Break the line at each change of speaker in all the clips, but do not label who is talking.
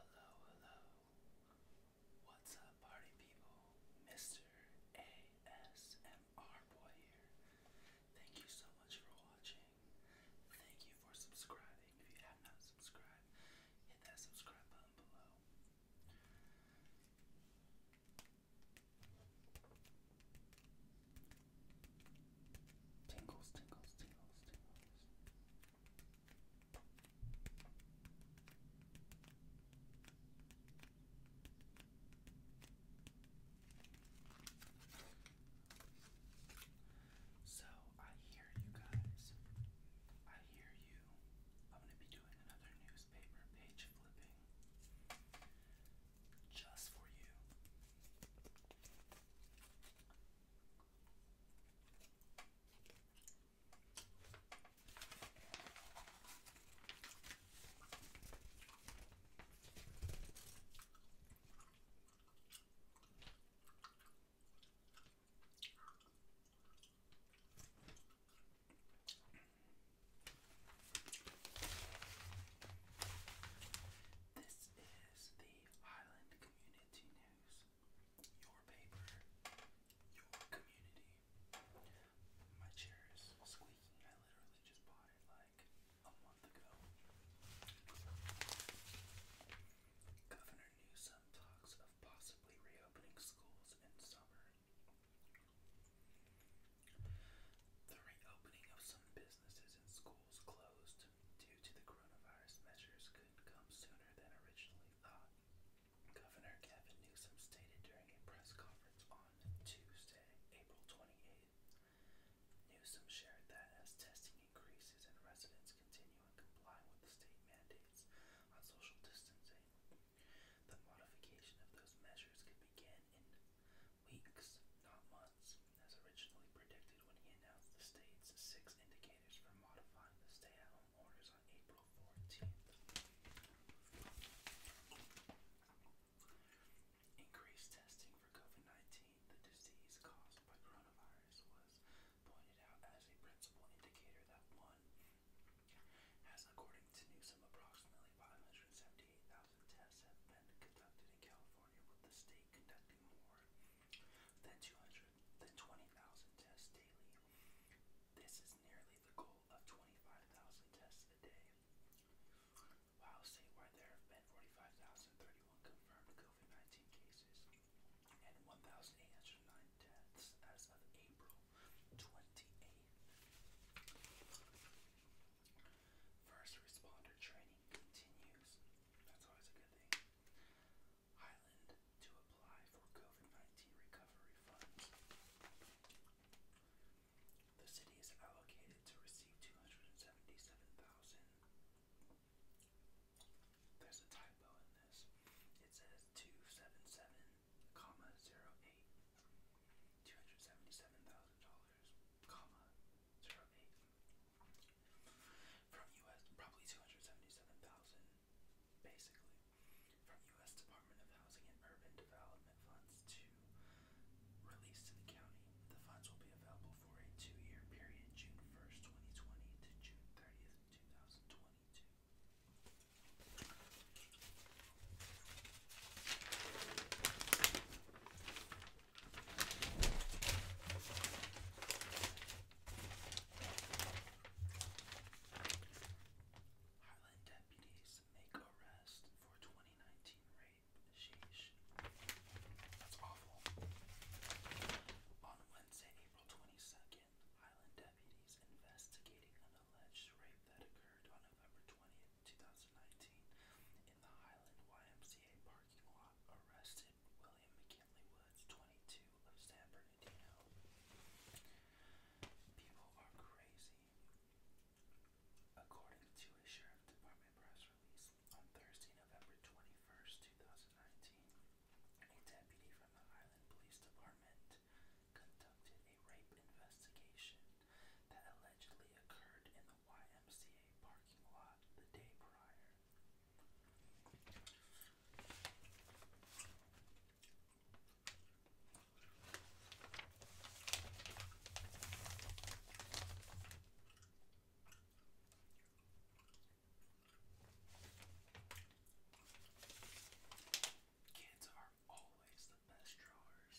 Hello, hello. What's up, party people? Mr. ASMR Boy here. Thank you so much for watching. Thank you for subscribing. If you have not subscribed, hit that subscribe button below. Tingles, tingles, tingles, tingles. So I hear you guys. I hear you. I'm gonna be doing another newspaper page flipping just for you. This is the Highland Community bags, your paper, your community. My chair is squeaking. I literally just bought it like a month ago. Governor Newsom talks of possibly reopening schools in summer. The reopening of some businesses and schools closed closed due to the coronavirus measures couldn't come sooner than originally thought. Governor Gavin Newsom stated during a press conference on Tuesday, April 28th. Newsom shared that as testing increases and residents continue and comply with the state mandates on social distancing, the modification of those measures could begin in weeks, not months as originally predicted when he announced the state's six indicators for modifying the stay at home orders on April 14th. Increased testing for COVID 19, the disease caused by coronavirus, was pointed out as a principal indicator that one has, according to Newsom, approximately 578,000 tests have been conducted in California, with the state conducting more then 200, then 20,000 tests daily. This is nearly the goal of 25,000 tests a day. Ohio statewide, there have been 45,031 confirmed COVID 19 cases and 1,809 deaths as of April 28th. First responder training continues. That's always a good thing. Highland to apply for COVID 19 recovery funds. The city is allocated to receive 277,000. There's a typo in this. It says 277, comma, 08. $277,000, comma, 08. From U.S. probably 277,000, basically. From U.S. Department of Housing and Urban Development funds to release to the county. The funds will be available for a two-year period, June 1st, 2020 to June 30th, 2022. Heartland deputies make arrest for 2019 rape. Sheesh. That's awful. On Wednesday, April 22nd, Highland deputies investigating an alleged rape that occurred on November 20th, 2019, in the Highland YMCA parking lot arrested William McKinley Woods, 22, of San Bernardino. People are crazy. According to a Sheriff Department press release on Thursday, November 21st, 2019, a deputy from the Island Police Department conducted a rape investigation that allegedly occurred in the YMCA parking lot the day prior. Kids are always the best drawers.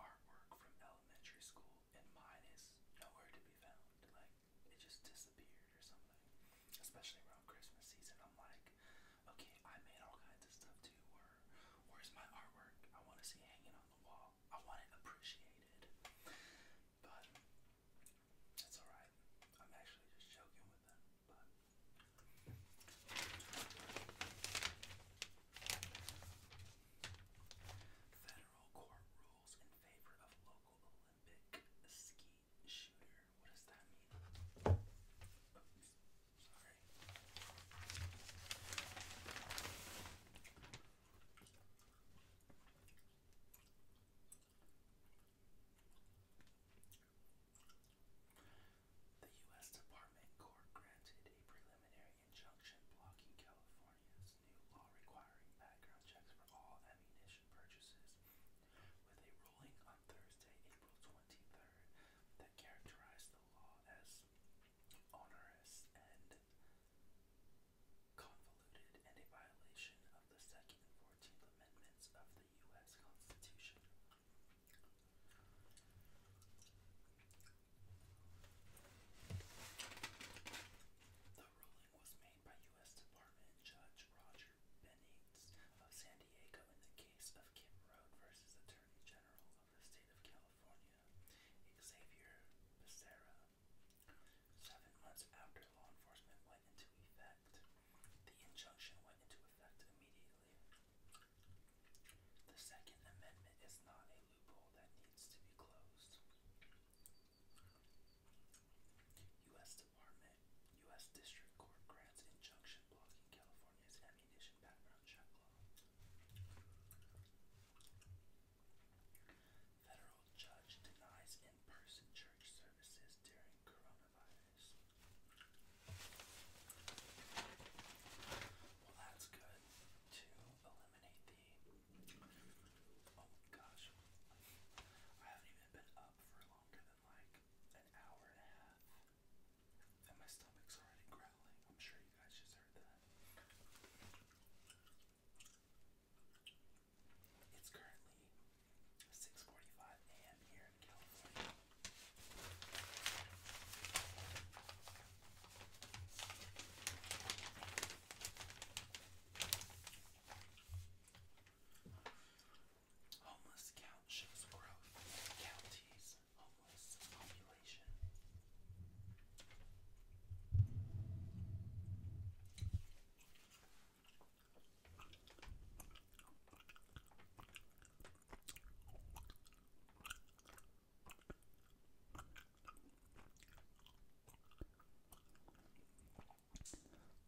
artwork from elementary school, and mine is nowhere to be found. Like it just disappeared or something. Especially around Christmas season, I'm like, okay, I made all kinds of stuff too. Where, where's my artwork? I want to see hanging on the wall. I want it appreciated. But that's alright. I'm actually just joking with them. But Federal court rules in favor of local Olympic ski shooter. What does that mean? Oops, sorry. The U.S. Department Court granted a preliminary injunction blocking California's new law requiring background checks for all ammunition purchases, with a ruling on Thursday, April 23rd, that characterized the law as onerous and convoluted and a violation of the Second and Fourteenth Amendments of the U.S. Constitution. The ruling was made by U.S. Department Judge Roger Benitez of San Diego in the case of Kim Road versus Attorney General of the State of California, Xavier Becerra. Seven months after law enforcement went into effect, the injunction went into effect immediately. The Second Amendment is not a loophole that needs to be closed. U.S. Department, U.S. District Court grants injunction blocking California's ammunition background check law. Federal judge denies in-person church services during coronavirus. Well, that's good. Two eliminate the. Oh gosh, I haven't even been up for longer than like an hour and a half, and my stomach's already growling. I'm sure you guys just heard that. It's currently 6:45 a.m. here in California. Homeless count shows growth. Counties, homeless population.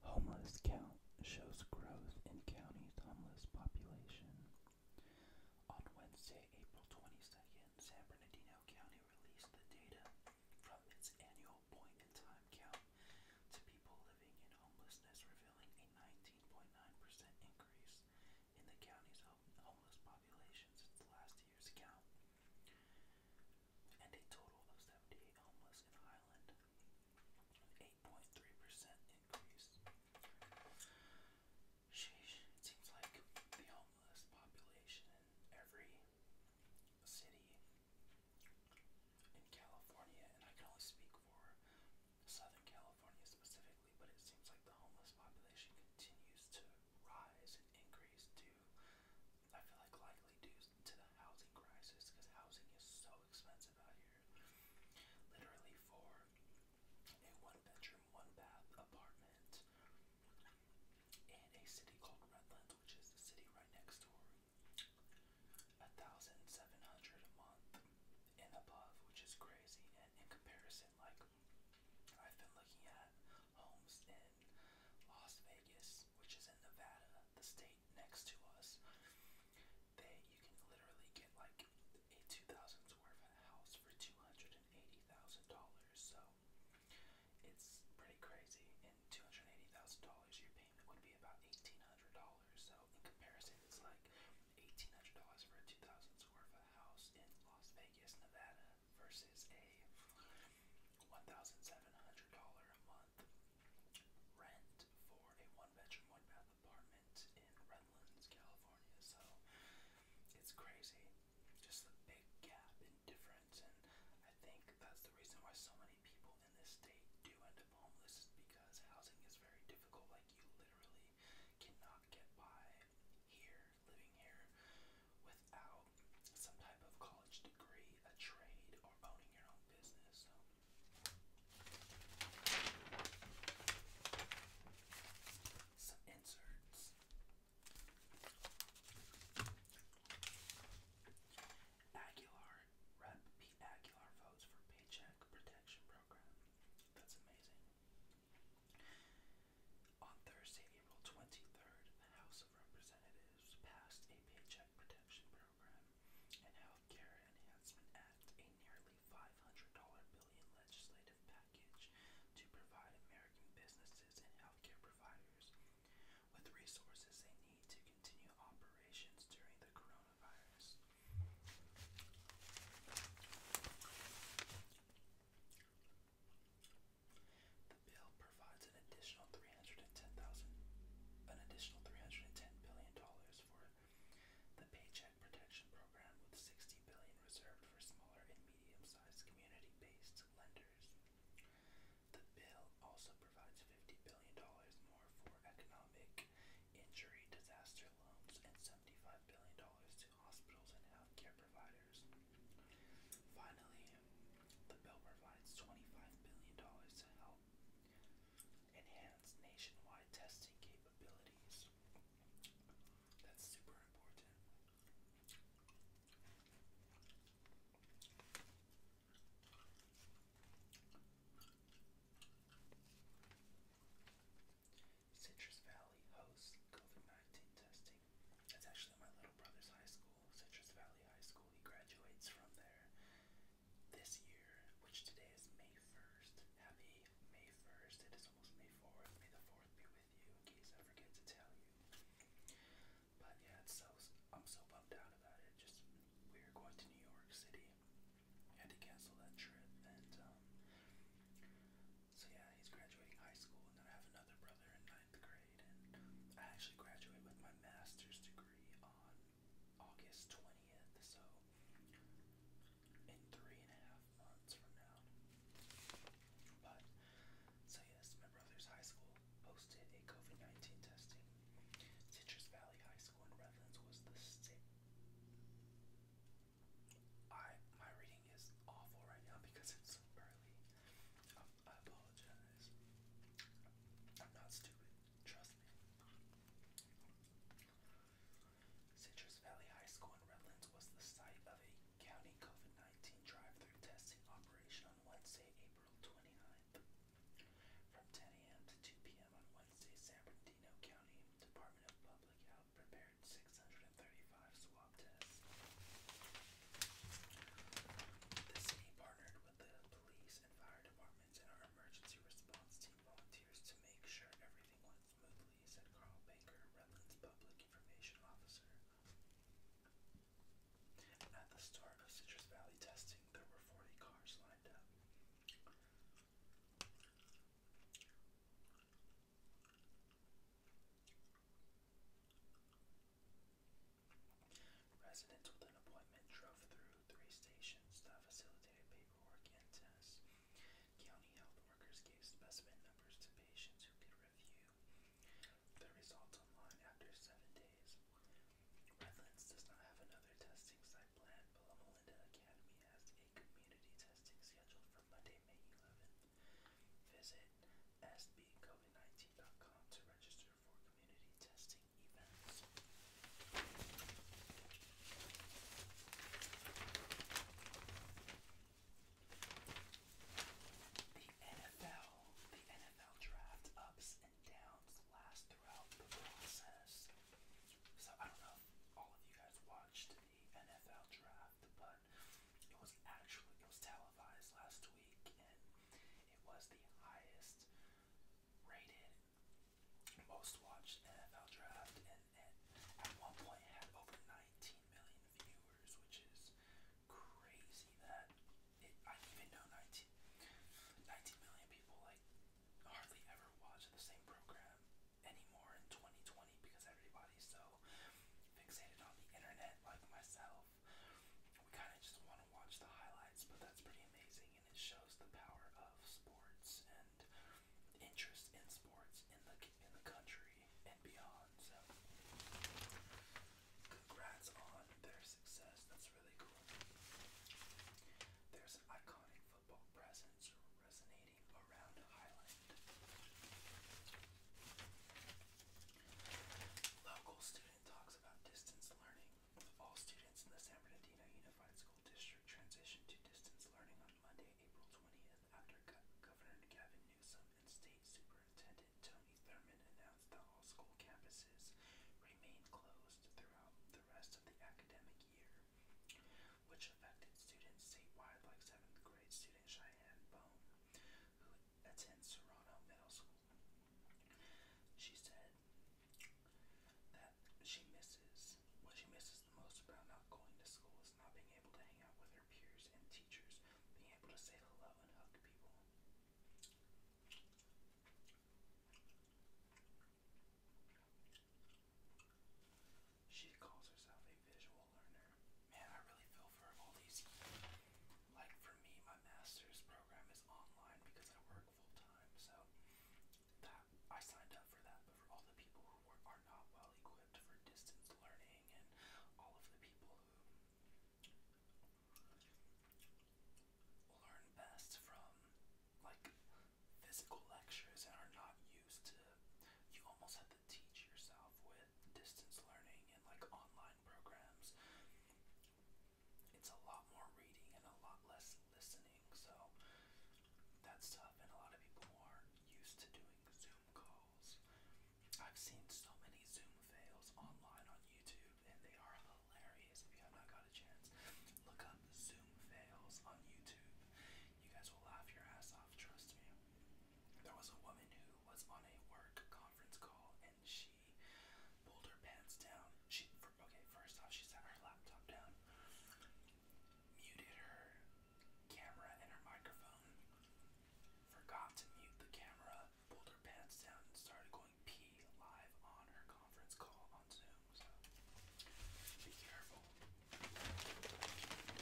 Homeless count shows growth in county's homeless population. On Wednesday, April 22nd, San Bernardino County released the data from its annual point in time count to people living in homelessness, revealing a 19.9% percent increase in the county's homeless population since last year's count, and a total of 78 homeless in Highland, an 8.3% increase. Sheesh, it seems like the homeless population in every city in California, and I can only speak for Southern California specifically, but it seems like the homeless population continues to rise and increase to, I feel like likely due to the housing crisis because housing is so expensive out here. Literally for a one bedroom, one bath apartment in a city called Redlands, which is the city right next door, a thousand seven hundred a month and above, which is crazy. And in comparison, like I've been looking at homes in Las Vegas, which is in Nevada, the state next to us. They you can literally get like a 2,000 square foot house for $280,000. So it's pretty crazy. And $280,000, your payment would be about $1,800. So in comparison, it's like $1,800 for a 2,000 square foot house in Las Vegas. Vegas, Nevada versus a $1,700 a month rent for a one bedroom, one bath apartment in Redlands, California. So it's crazy. Just the big gap in difference. And I think that's the reason why so many people in this state do end up homeless is because housing is very difficult. Like you literally cannot get by here, living here, without some type of college degree, a trade, or owning your own business. Some inserts. Aguilar, Rep. Aguilar votes for Paycheck Protection Program. That's amazing. On Thursday, April 23rd, the House of Representatives passed a Paycheck Protection Program and Health Care Enhancement Act, a nearly $500 billion legislative package to provide American businesses and healthcare providers with resources they need to continue operations during the coronavirus. The bill provides an additional three hundred and ten thousand, an additional three hundred and ten billion dollars for the Paycheck Protection Program, with sixty billion reserved for smaller and medium-sized community-based lenders. The bill also provides fifty billion dollars more for economic injury disaster loans and seventy-five billion dollars to hospitals and healthcare providers. Finally, the bill provides $25 billion to help enhance nationwide testing capabilities. That's super important. Citrus Valley hosts COVID 19 testing. That's actually my little brother's high school, Citrus Valley High School. He graduates from there this year, which today is May 1st. Happy May 1st. It is almost May 4th. May the 4th be with you, in case I forget to tell you. But yeah, it's so, I'm so bummed out about it. Just, we were going to New York City. I had to cancel that trip, and um, so yeah, he's graduating high school, and then I have another brother in ninth grade, and I actually graduate with my master's degree on August twentieth. So in three and a half months from now. But so yes, my brother's high school posted a COVID nineteen testing. Citrus Valley High School in Redlands was the state I my reading is awful right now because it's early. Um, I apologize. I'm not stupid. Trust me. Citrus Valley High School in Redlands was the site of a county COVID-19 drive-through testing operation on Wednesday, April 29th. From 10 a.m. to 2 p.m. on Wednesday, San Bernardino County Department of Public Health prepared 635 swab tests. The city partnered with the police and fire departments and our emergency response team volunteers to make sure everything went smoothly, said Carl Baker, Redlands Public Information Officer. At the start of Citrus Valley testing, there were 40 cars lined up. Residents with an appointment drove through three stations that facilitated paperwork and tests. County health workers gave specimen numbers to patients who could review the results online after seven days. Redlands does not have another testing site planned, but Melinda Academy has a community testing scheduled for Monday, May 11th. Visit sbcovid19.com to register for community testing events. The NFL, the NFL draft ups and downs last throughout the process. So I don't know all of you guys watched the NFL draft, but but it was actually it was televised last week, and it was the highest rated, most watched NFL draft, and, and at one point it had over 19 million viewers, which is crazy that it, I didn't even know 19, 19 million people like hardly ever watch the same program anymore in 2020 because everybody's so fixated on the internet like myself. We kind of just want to watch the highlights, but that's pretty amazing, and it shows the power of sports and interest in sports in the in the country and beyond. So, congrats on their success. That's really cool. There's an iconic football presence resonating Local student talks about distance learning. All students in the San Bernardino Unified School District transitioned to distance learning on Monday, April 20th, after Governor Gavin Newsom and State Superintendent Tony Thurman announced that all school campuses remained closed throughout the rest of the academic year, which affected students statewide like 7th grade student Cheyenne Bone, who attends Serrano Middle School. She said that she misses what she misses the most about not going to school is not being able to hang out with her peers and teachers, being able to say hello and hug people. She calls herself a visual learner. Man, I really feel for all these. Like for me, my master's program is online because I work full time, so that I signed up for that. But for all the people who are, not well equipped for distance learning, and all of the people who learn best from like physical lectures and are not used to, you almost have to teach yourself with distance learning and like online programs, it's a lot more reading and a lot less listening. So that's tough, and a lot of people aren't used to doing Zoom calls. I've seen so many Zoom fails online on YouTube, and they are hilarious. If you have not got a chance, look up Zoom fails on YouTube. You guys will laugh your ass off, trust me. There was a woman who was on a work conference call and she pulled her pants down. She okay, first off, she set her laptop down, muted her camera and her microphone, forgot to mute the camera, pulled her pants down, and started going pee live on her conference call on Zoom. So be careful.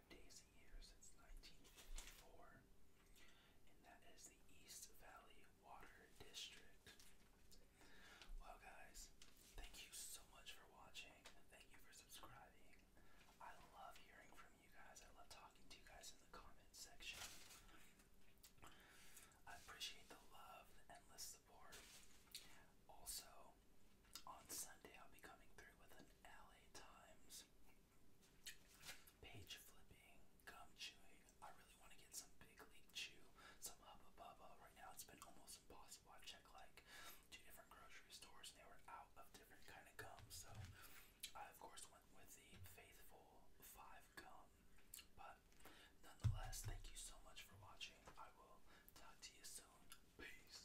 days a year since 1954, and that is the East Valley Water District. Well, guys, thank you so much for watching. Thank you for subscribing. I love hearing from you guys. I love talking to you guys in the comment section. I appreciate the love, the endless support. Also, on Sunday, I'll be coming through with an LA Times page flipping, gum chewing. I really want to get some big league chew, some Hubba Bubba. Right now, it's been almost impossible. I've checked like two different grocery stores and they were out of different kind of gum. So, I of course went with the Faithful Five gum. But nonetheless, thank you so much for watching. I will talk to you soon. Peace.